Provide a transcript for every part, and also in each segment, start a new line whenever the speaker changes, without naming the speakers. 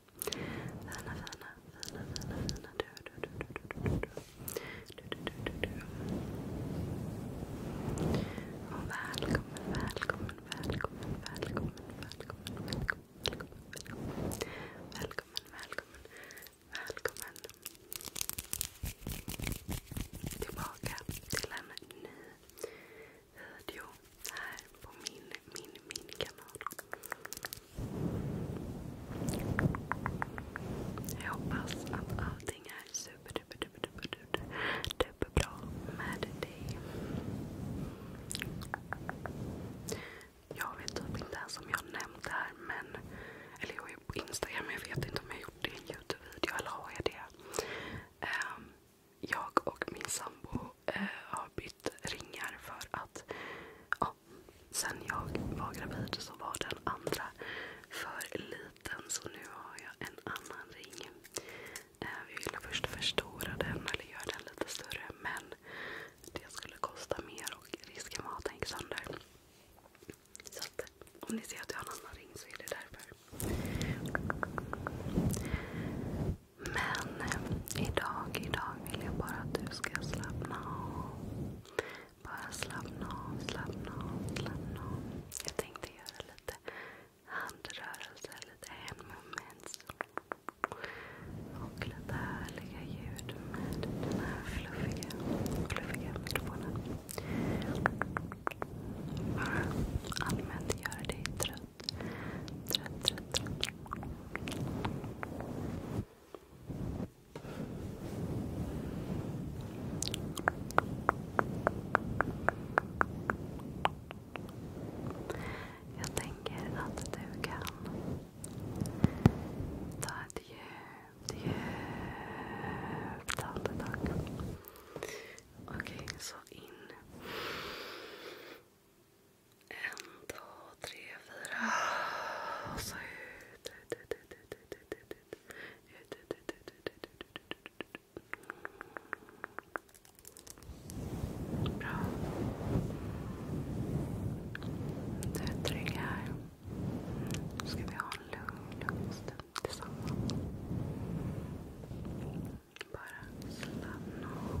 Fina, fina, fina, fina, fina du, du, du, du, du, du, du, du, du, du, Och välkommen, välkommen, välkommen, välkommen, välkommen, välkommen, välkommen, välkommen, välkommen, välkommen, välkommen tillbaka till en ny video här på min, min, min kanal. Jag hoppas att allting är super, med dig. Jag vet typ inte ens om jag nämnt det här, men... Eller jag är på Instagram, jag vet inte om jag gjort det i en Youtube-video. Eller har jag det? Um, jag och min sambo eh, har bytt ringar för att ja, sen jag var gravid så var den andra för liten. Så nu har jag en annan ring. Eh, vi ville först förstora den eller göra den lite större. Men det skulle kosta mer och risken var att den gick sönder. Så att, om ni ser att jag har en annan ring så är det därför. Men eh, idag, idag vill jag bara att du ska slappna av. Bara slappna av, slappna av, slappna av. Jag tänkte göra lite handrörelser, lite handmovements. Och lite härliga ljud med den här fluffiga, mikrofonen. allmänt göra dig trött trött, trött, trött, trött. Jag tänker att du kan ta ett djupt, djupt andetag. Okej, så in. En, två, tre, fyra. Och så ut, ut, ut, ut, ut, ut, ut, ut, ut, ut, ut, ut, ut, ut, ut. Bra. Du är trygg här. Nu ska vi ha en lugn, lugn stund tillsammans. Bara slappna av.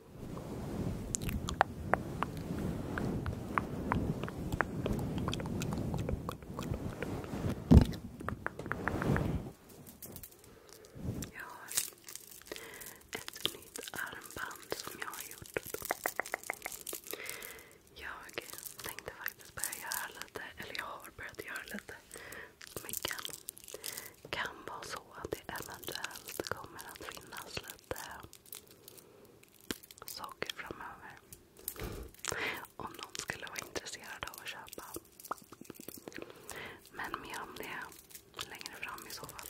Jag har ett nytt armband som jag har gjort. Jag tänkte faktiskt börja göra lite, eller jag har börjat göra lite smycken. Kan vara så att det eventuellt kommer att finnas lite saker framöver. Om någon skulle vara intresserad av att köpa. Men mer om det längre fram i så fall.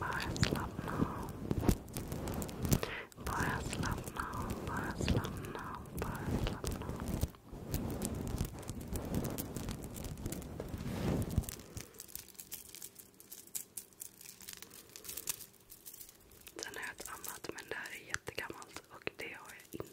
Bara slappna av. Bara slappna av. Bara slappna av. Bara slappna av. Sen har jag ett annat, men det här är jättegammalt och det har jag inte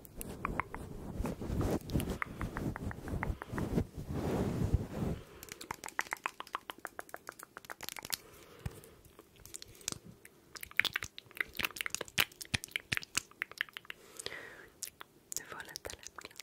Du får lite läppglans.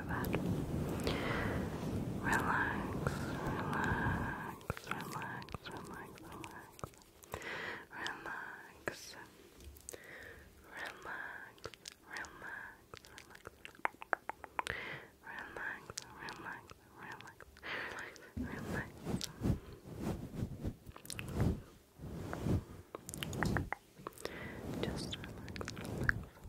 your bed. Relax, relax, relax, relax, relax. Relax. Relax, relax, relax. Relax, relax, relax, relax, relax. Just relax, relax, relax,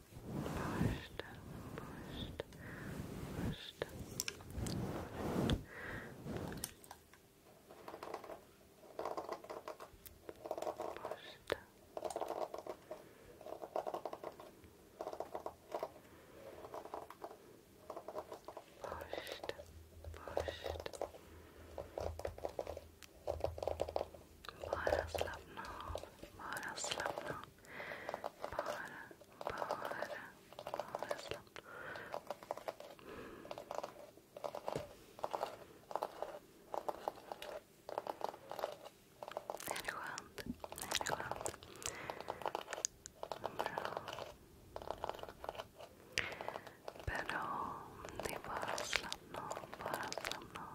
Borsta, borsta, borsta. Bara slappna av, bara slappna av. Bara, bara, bara slappna är det skönt? Är det skönt? Bra. Bra. Det är bara att slappna av. Bara slappna av.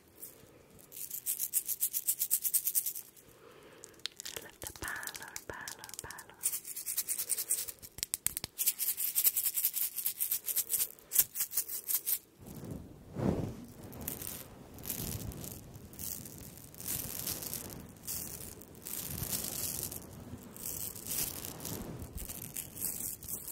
I love the parlor, parlor, parlor.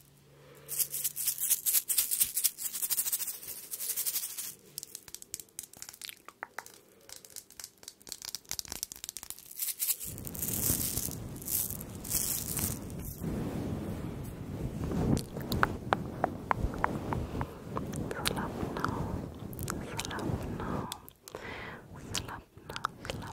Slap now, slap now, slap now, slap now,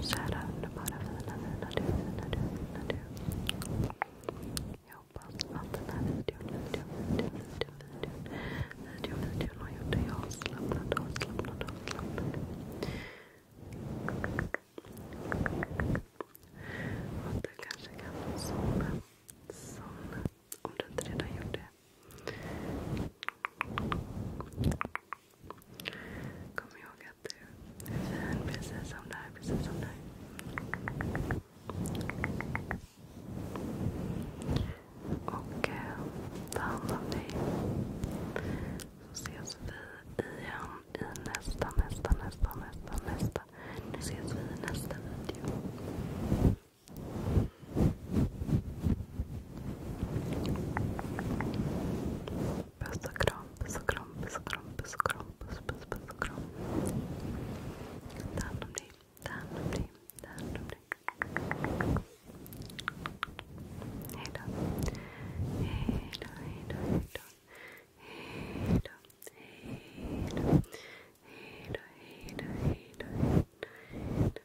Kära underbara fina, fina du, fina du, fina du. Jag hoppas att den här videon, videon, videon,
videon, har gjort dig avslappnad, avslappnad, avslappnad. Och att du kanske kan somna, somna. Om du inte redan gjort det. Kom ihåg att du är fin precis som du Precis som du Och eh, ta hand om dig. Så ses vi igen i nästa, nästa, nästa, nästa, nästa. Nu ses vi i nästa video. Puss och puss kram, puss puss kram, puss, puss, puss kram. Ta hand om dig, ta hand om dig, ta hand om dig. Hejdå. Hejdå, hejdå, hejdå. Hejdå, hejdå. Hejdå, hejdå, hejdå, hejdå.